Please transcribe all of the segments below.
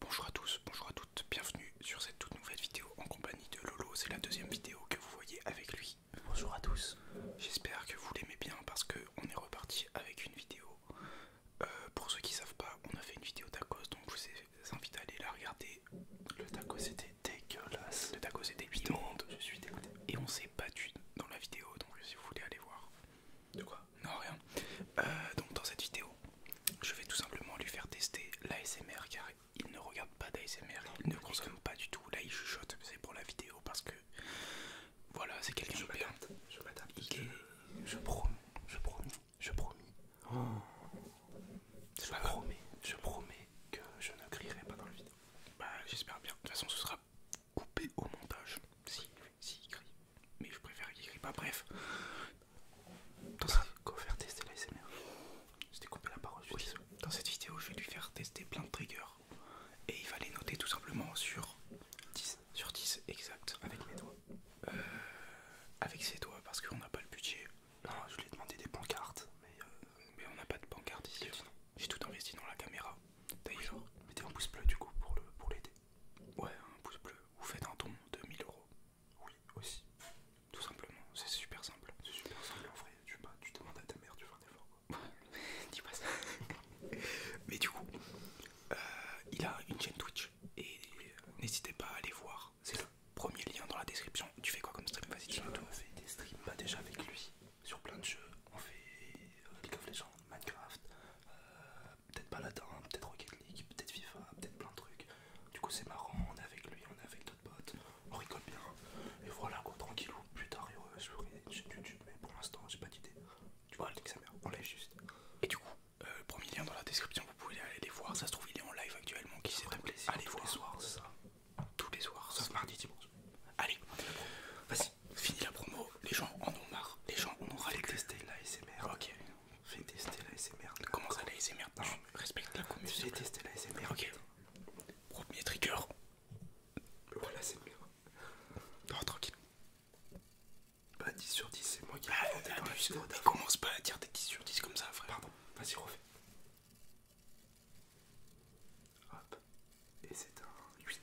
Bonjour à tous, bonjour à toutes, bienvenue sur cette toute nouvelle vidéo en compagnie de Lolo, c'est la deuxième vidéo que vous voyez avec lui. Bonjour à tous, j'espère que vous l'aimez bien parce qu'on est reparti avec une vidéo. Euh, pour ceux qui savent pas, on a fait une vidéo tacos, donc je vous invite à aller la regarder. Le tacos était dégueulasse, le tacos était immonde, je suis dégoûté. Et on s'est battu dans la vidéo, donc si vous voulez aller voir. De quoi non, rien. Euh, donc, dans cette vidéo, je vais tout simplement lui faire tester l'ASMR car il ne regarde pas d'ASMR, il ne consomme pas du tout. Là, il chuchote, c'est pour la vidéo parce que voilà, c'est quelqu'un de bien. Je vais Je promets. je promets, je promets, oh. Je promets, je promets que je ne crierai pas dans la vidéo. Bah, j'espère bien. De toute façon, ce sera coupé au montage. Si, si, crie mais je préfère qu'il crie pas. Bref, dans cette... Quoi faire tester la parole. Dans cette vidéo, je vais lui faire tester plein de triggers et il va les noter tout simplement sur 10. Sur 10, exact. Avec mes doigts euh, Avec ses doigts, parce qu'on n'a pas le budget. Non, je lui ai demandé des pancartes, mais, euh, mais on n'a pas de pancartes ici. J'ai tout investi dans la caméra. D'ailleurs, mettez un pouce bleu du coup pour l'aider. Pour ouais, un pouce bleu, vous faites un don de 1000€. euros. Oui, aussi. Tout simplement, c'est super simple. C'est super simple, en vrai, tu, demandes à ta mère, tu fais des effort. Quoi. Dis pas ça. Mais du coup, euh, il a une chaîne Twitch et euh, n'hésitez pas à aller voir. C'est le premier lien dans la description. Tu fais quoi comme stream Vas-y, tu On fait des streams bah, déjà avec lui sur plein de jeux. On fait League of Legends, Minecraft, euh, peut-être Paladin, peut-être Rocket League, peut-être FIFA, peut-être plein de trucs. Du coup c'est marrant, on est avec lui, on est avec d'autres potes, on rigole bien. Et voilà quoi, tranquillou, plus tard je suis une YouTube, mais pour l'instant j'ai pas d'idée. Tu vois, elle on lève juste. Et du coup, le euh, premier lien dans la description, vous pouvez aller les voir, ça se trouve il est en live actuellement, qui c'est un plaisir. Allez voir. les soirs, ça Tous les soirs, sauf mardi, dimanche. Allez, vas-y, finis la promo les gens en ont marre. Les gens en ont marre. Fais tester l'ASMR. Ok. Fais tester l'ASMR. commence Comment ça la Tu la commune. Fais tester la Ok. Premier trigger. Voilà, c'est mieux. Non, tranquille. Bah 10 sur 10, c'est moi qui ai bah, inventé Commence pas à dire des 10 sur 10 comme ça, frère. Pardon, vas-y, refais. Hop. Et c'est un 8.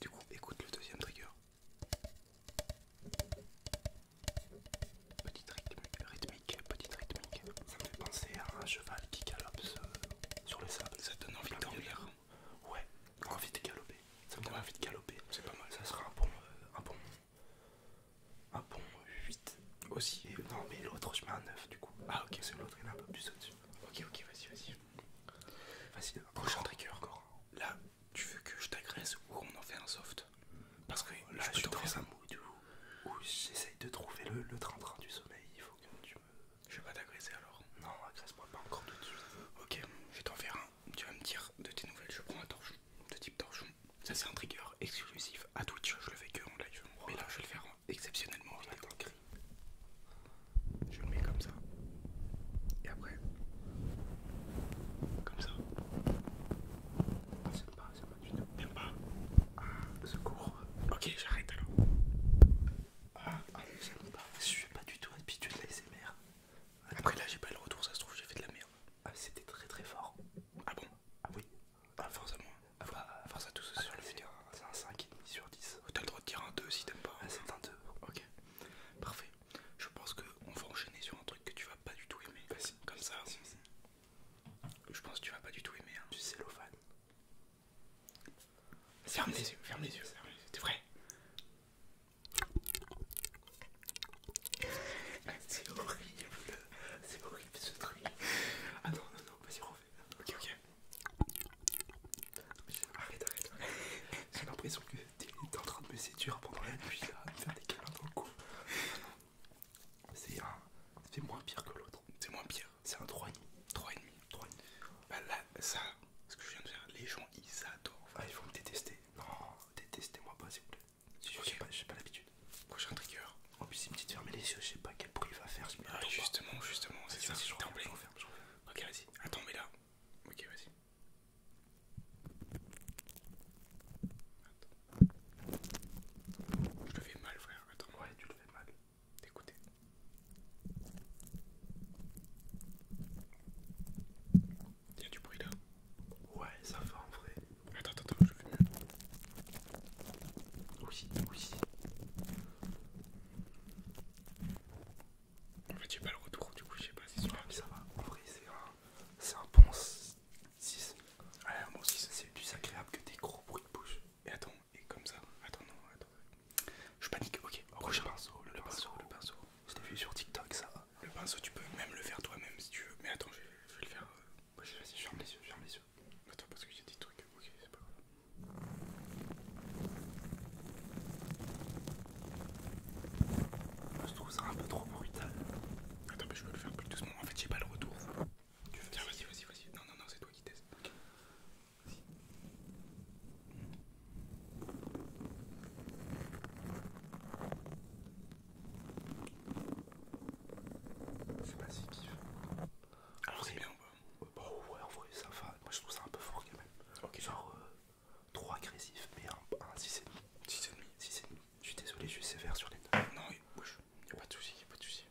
du coup, écoute le deuxième trigger. Petite rythmique, rythmique, petite rythmique. Ça me fait penser à un cheval qui galope euh, sur le sable. Ça donne envie de dormir. Ouais, envie de galoper. Ça me donne envie de galoper. C'est pas mal. Ça sera un bon, euh, un bon, bon 8 aussi. non mais l'autre, je mets un 9 du coup. Ah ok, c'est l'autre, il est un peu plus au-dessus. Ok, ok, vas-y, vas-y. Vas-y, prochain trigger. Encore. Là, tu veux que je t'agresse ou on en fait un soft Parce que là, je, un mood où, j'essaye de trouver le train-train du sommeil. Il faut que tu me. Je vais pas t'agresser alors. Non, agresse-moi pas encore de Ok, je vais t'en faire un. Tu vas me dire de tes nouvelles. Je prends un torchon, de type torchon. Ça, c'est un trigger exclusif à Twitch. Je le fais que en live. Oh Mais là, je vais le faire exceptionnellement. Je le mets comme ça. Et après, comme ça. Ah, c'est pas, c'est pas du tout. pas Ah, secours. Ok, j'arrête alors. Ah, ne ah, pas. Je suis pas du tout habitué de la SMR. Après là, j'ai pas le retour, ça se trouve, j'ai fait de la merde. Ah, c'était très très fort. Ah bon Ah oui. Ah, force à moi. Ah, force ah, sur le C'est un 5,5 sur 10. T'as le droit de dire un 2 si t'aimes pas. Ah, c'est un 2. Ok, parfait. Je pense qu'on va enchaîner sur un truc que tu vas pas du tout aimer. Vas-y, comme ça. Je pense que tu vas pas du tout aimer. Hein. Du cellophane. Ferme les yeux, ferme les yeux. C'est vrai. C'est horrible, c'est horrible ce truc. Ah non, non, non, vas-y, refais. Ok, ok. Arrête, arrête, arrête. J'ai l'impression que t'es en train de me séduire pendant la nuit là, à me faire des câlins le cou. C'est un. C'est moins pire que l'autre. C'est moins pire. C'est un 3,5. 3,5. 3,5. Bah là, ça, ce que je viens de faire, les gens ils adorent. Ah, ils vont me détester. Non, détestez-moi pas s'il vous plaît. sais pas, bah, J'ai pas, pas l'habitude. Prochain trigger. En plus, il me dit de fermer les yeux, je sais pas quel bruit il va faire. justement, justement, c'est ça. Ok, vas-y. Attends, mais là. Ok, vas-y. Je le fais mal, frère. Attends, ouais, tu le fais mal. Écoutez. Tiens du bruit là. Ouais, ça va en vrai. Attends, attends, attends, je fais mieux. Oui, oui. En fait, j'ai pas le retour, du coup, je sais pas si c'est mais Ça va, en vrai, c'est un, bon 6. aussi un bon C'est plus agréable que des gros bruits de bouche. Et attends, et comme ça. Attends, non, attends. Je panique, ok. Rouge pinceau, le, le pinceau, pinceau, le pinceau. Je vu sur TikTok, ça. Le pinceau, tu peux même le faire toi-même si tu veux. Mais attends, je vais, le faire. Vas-y, euh, vas ferme les yeux, ferme les yeux. Attends, parce que j'ai des trucs. Ok, c'est pas grave. Ah, je trouve ça un peu trop brutal. Attends, mais je veux le faire plus doucement. En fait, j'ai pas le retour. Tiens, vas-y, vas-y, vas-y. Non, non, non, c'est toi qui teste. C'est pas si kiff. Alors, ah, c'est bien Bon, ouais, en vrai, ça va. Moi, je trouve ça un peu fort quand même. Genre euh, trop agressif, mais un, un 6,5. 6,5. 6,5. Je suis désolé, je suis sévère sur les notes. Non, il bouge. Y'a pas de soucis, y'a pas de soucis.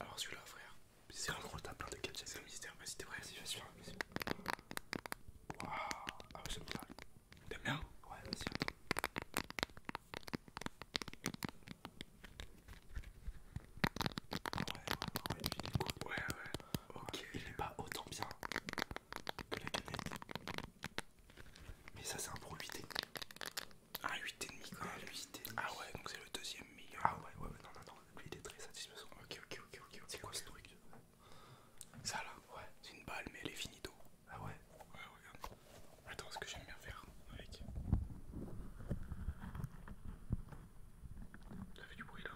Alors, celui-là, frère, c'est un gros tas plein de gadgets. C'est un mystère, vas-y, t'es prêt Vas-y, vas-y, vas-y. Waouh, ah ouais, j'aime bien. T'aimes bien Ouais, vas-y, attends ouais, ouais, il est Ouais, ouais, ok. Il est pas autant bien que la canette. Mais ça, c'est un 8D Un demi. quoi. Un 8 même Ah ouais, donc c'est le deuxième meilleur. Ah ouais, ouais, non, non, non. Lui, il est très satisfaisant. Ok, ok, ok, ok. C'est quoi ce truc Ça là Ouais. C'est une balle, mais elle est finie d'eau. Ah ouais Ouais, regarde. Attends, ce que j'aime bien faire avec. Ça fait du bruit là.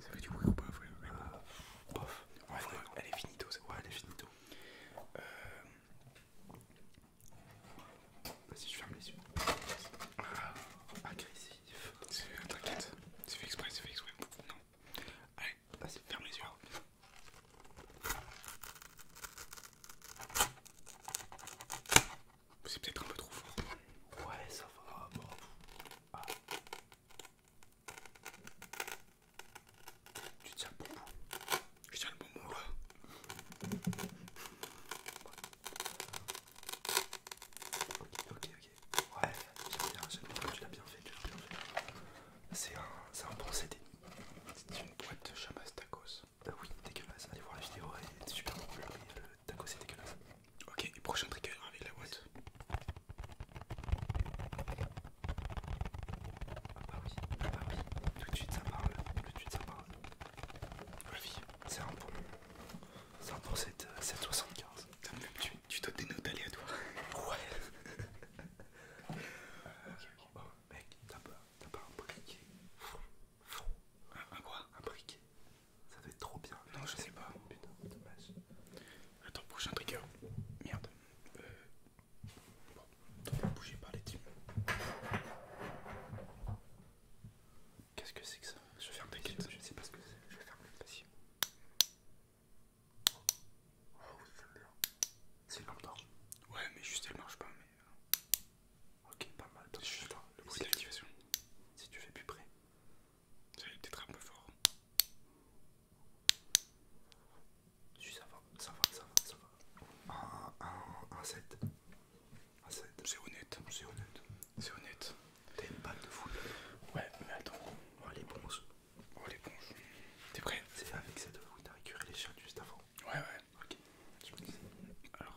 Ça fait du bruit ou pas, Elle est finito, Ouais, elle est finito. Euh, vas-y, je ferme les yeux. Ah. agressif. T'inquiète, c'est fait exprès, c'est Allez, vas-y, ferme les yeux. C'est peut-être un peu trop fort. Ouais, ça va. Bon. Ah. Tu tiens le bon bout. Je tiens le bon là. Ok, ok, ok. Ouais, j'aime bien, j'aime bien. Tu l'as bien fait, tu l'as bien fait. C'est un, un bon CD. C'est une boîte chamas tacos. Bah oui, dégueulasse. Allez voir la vidéo, c'est super drôle, le Tacos est dégueulasse. Ok, prochain trigger euh, avec la boîte. Ah bah oui, ah bah oui, tout de suite ça parle, tout de suite ça parle. La vie, c'est un bon. C'est un bon 775. Euh, tu, dois des notes aléatoires. Ouais. mec, t'as pas, pas un briquet un, quoi Un briquet Ça fait trop bien. Non, je sais pas. Putain, dommage. Attends, prochain trigger. Merde. Euh... Bon, bougez pas les teams. Qu'est-ce que c'est que ça Je ferme un quête. Je sais pas ce que c'est. Je ferme de facile oh, oui, bien. C'est une lampe d'argent. Ouais, mais juste elle marche pas. Mais... Euh, ok, pas mal. C'est juste là, le bruit d'activation. Si tu fais plus près. Ça va peut-être un peu fort. Si ça va, ça va, ça va, ça va. Un, 7. Un 7. C'est honnête. C'est honnête. C'est honnête. T'as une balle de foule. Ouais, mais attends. Oh, les bronzes. Oh l'éponge. T'es prêt C'est avec cette de t'as récupéré les chiottes juste avant. Ouais ouais. Ok. Je me Alors.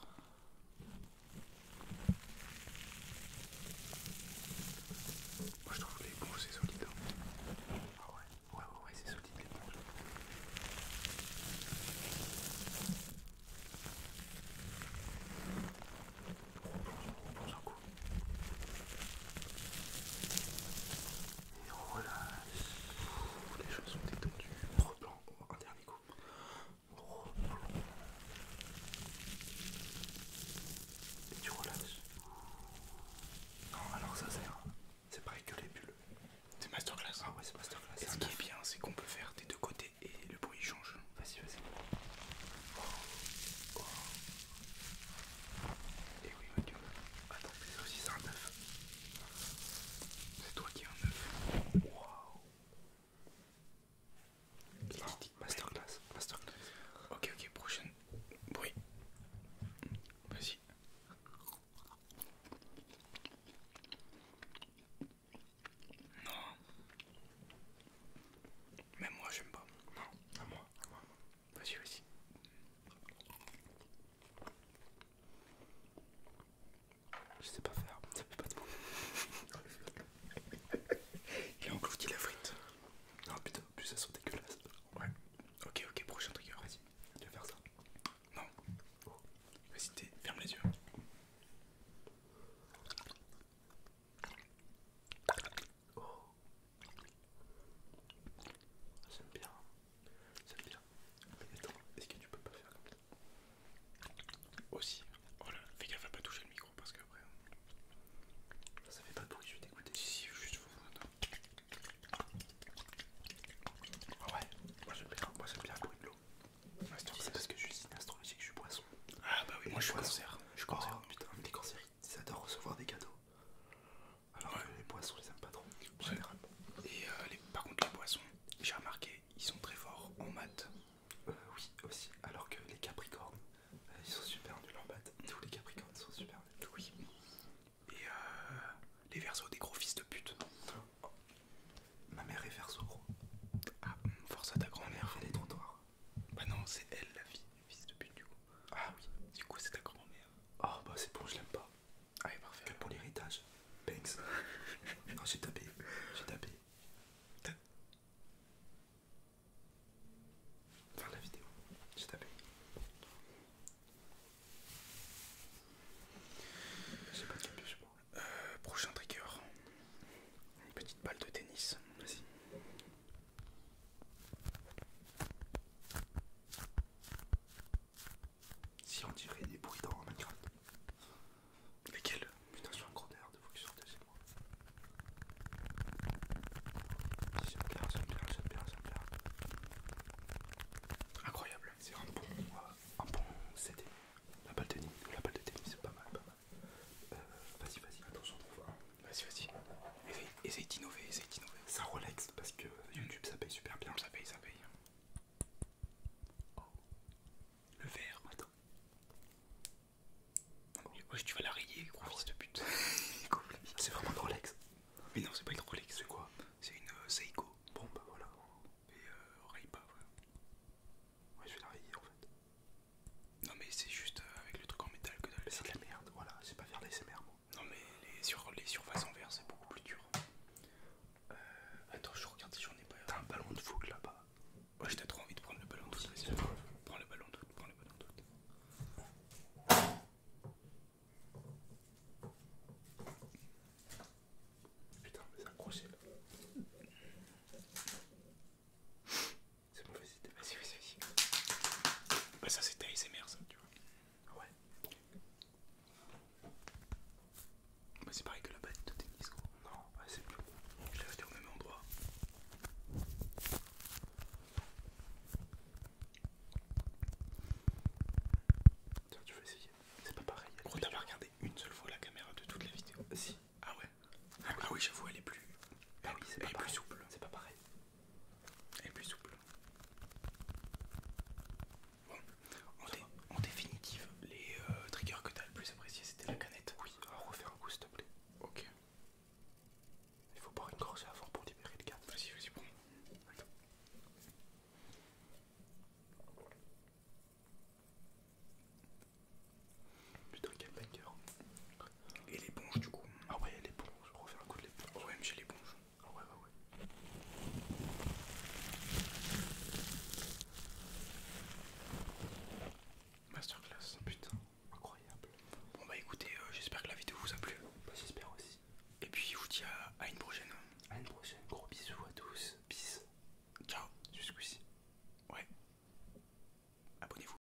Moi je trouve que l'éponge c'est solide. Hein. Ah ouais. Ouais ouais ouais c'est solide l'éponge. Replonge, replonge un coup et relâche. Les choses sont détendues. Replonge. Un dernier coup. Et tu relâches. Non, alors ça c'est pareil que les bulles. C'est masterclass. Ah ouais, c'est masterclass. Et ce qui est bien, c'est qu'on peut faire des deux côtés et le bruit change. Vas-y, vas-y. Oh, oh, oh. Et oui, mon Attends, mais ça aussi, c'est un œuf. C'est toi qui es un œuf. Waouh. Masterclass. Masterclass. Ok, ok, prochaine. Bruit. Vas-y. Non. Même moi, j'aime pas. Non, à moi, à moi. Vas-y, vas-y. Je sais pas faire, ça fait pas de bon. Il a englouti la frite. Non, putain, plus ça sent dégueulasse. Ouais. Ok, ok, prochain truc vas-y. Tu vas faire ça. Non. Oh. Vas-y, ferme les yeux. Oh. J'aime bien. J'aime bien. Mais attends, est-ce que tu peux pas faire comme ça aussi, oh là, fais gaffe à pas toucher le micro parce que Ça, ça fait pas de bruit, je suis dégoûté. Si, si, juste vous. Ah ouais, moi j'aime bien, moi j'aime bien le bruit de l'eau. c'est parce que je suis sinistre, je suis poisson. Ah bah oui, moi je suis cancer. Je suis cancer, oh, putain, des cancérites. Ils adorent recevoir des cadeaux. Alors que les poissons, ils aiment pas trop, généralement. Et euh, par contre, les poissons, j'ai remarqué, ils sont très forts en maths. Euh, oui, aussi. Alors que les capricornes, euh, ils sont super nuls en maths. Tous les capricornes sont super nuls. Oui. Et euh, les versos, des gros fils de pute. Oh. Ma mère est verso, gros. Ah, force à ta grand-mère. Elle est Bah non, c'est elle la fille, fils de pute, du coup. Ah oui, du coup c'est ta grand-mère. Ah oh, bah c'est bon, je l'aime pas. Allez ah parfait. Que pour l'héritage. Banks. non j'ai tapé, j'ai tapé. Faire la vidéo, j'ai tapé. J'ai pas de capuche moi. Euh, prochain trigger. Une petite balle de tennis. Vas-y. Si on dirait des bruits dans Minecraft. Mais quel putain, je suis un gros nerf de focus sur sorte chez moi. Ça me plaire, ça me plaire, ça me plaire, ça Incroyable, c'est un bon, euh, un bon CD. La balle de tennis, la balle de c'est pas mal, pas mal. Euh, vas-y, vas-y, attention, on retrouve. Vas-y, vas-y. Essaye, d'innover, essaye d'innover. Ça relaxe parce que mm. YouTube ça paye super bien. Ça paye, ça paye. Oh. Le verre, attends. Ah ouais, tu vas la rayer, gros fils de pute. c'est vraiment une Rolex. Mais non, c'est pas une Rolex. C'est quoi C'est une euh, Seiko. Bon, bah voilà. Et euh, raye pas, ouais. Ouais, je vais la rayer en fait. Non mais c'est juste euh, avec le truc en métal que ça. C'est de la merde, voilà, c'est pas faire l'ASMR moi. Non mais les, sur, les surfaces en verre c'est beaucoup plus dur. Euh, attends, je regarde si j'en ai pas. T'as un ballon de foot là-bas. Moi j'étais trop envie de prendre le ballon de foot. prends le ballon de foot, prends le ballon Putain, mais c'est accroché, là. C'est bon, vas-y, vas-y, vas-y. Bah, ça, c'était ASMR, ça, tu vois. Ouais. Bah, c'est pareil que la bête de tennis, quoi Non, bah, c'est plus. Je l'ai resté au même endroit. Tiens, tu veux essayer C'est pas pareil. Gros, t'as regardé une seule fois la caméra de toute la vidéo Si. Ah ouais Ah oui, ah j'avoue, elle est plus. Ah oui, c'est pas, C'est pas pareil et plus souple. Bon, en, définitive, les euh, triggers que tu as le plus apprécié, c'était la canette. Oui, alors refais un coup s'il te plaît. Ok. Il faut boire une grosse avant pour libérer le gaz. Vas-y, vas-y, bon. Putain, quel banger. Et l'éponge du coup. Ah ouais, l'éponge, refaire un coup de l'éponge. mais les l'éponge. Ah ouais, ouais, ouais. Masterclass, putain, incroyable. Bon bah écoutez, euh, j'espère que la vidéo vous a plu. Bah j'espère aussi. Et puis je vous dis à, à une prochaine. À une prochaine, gros bisous à tous. Peace. Ciao, jusqu'ici. Ouais. Abonnez-vous.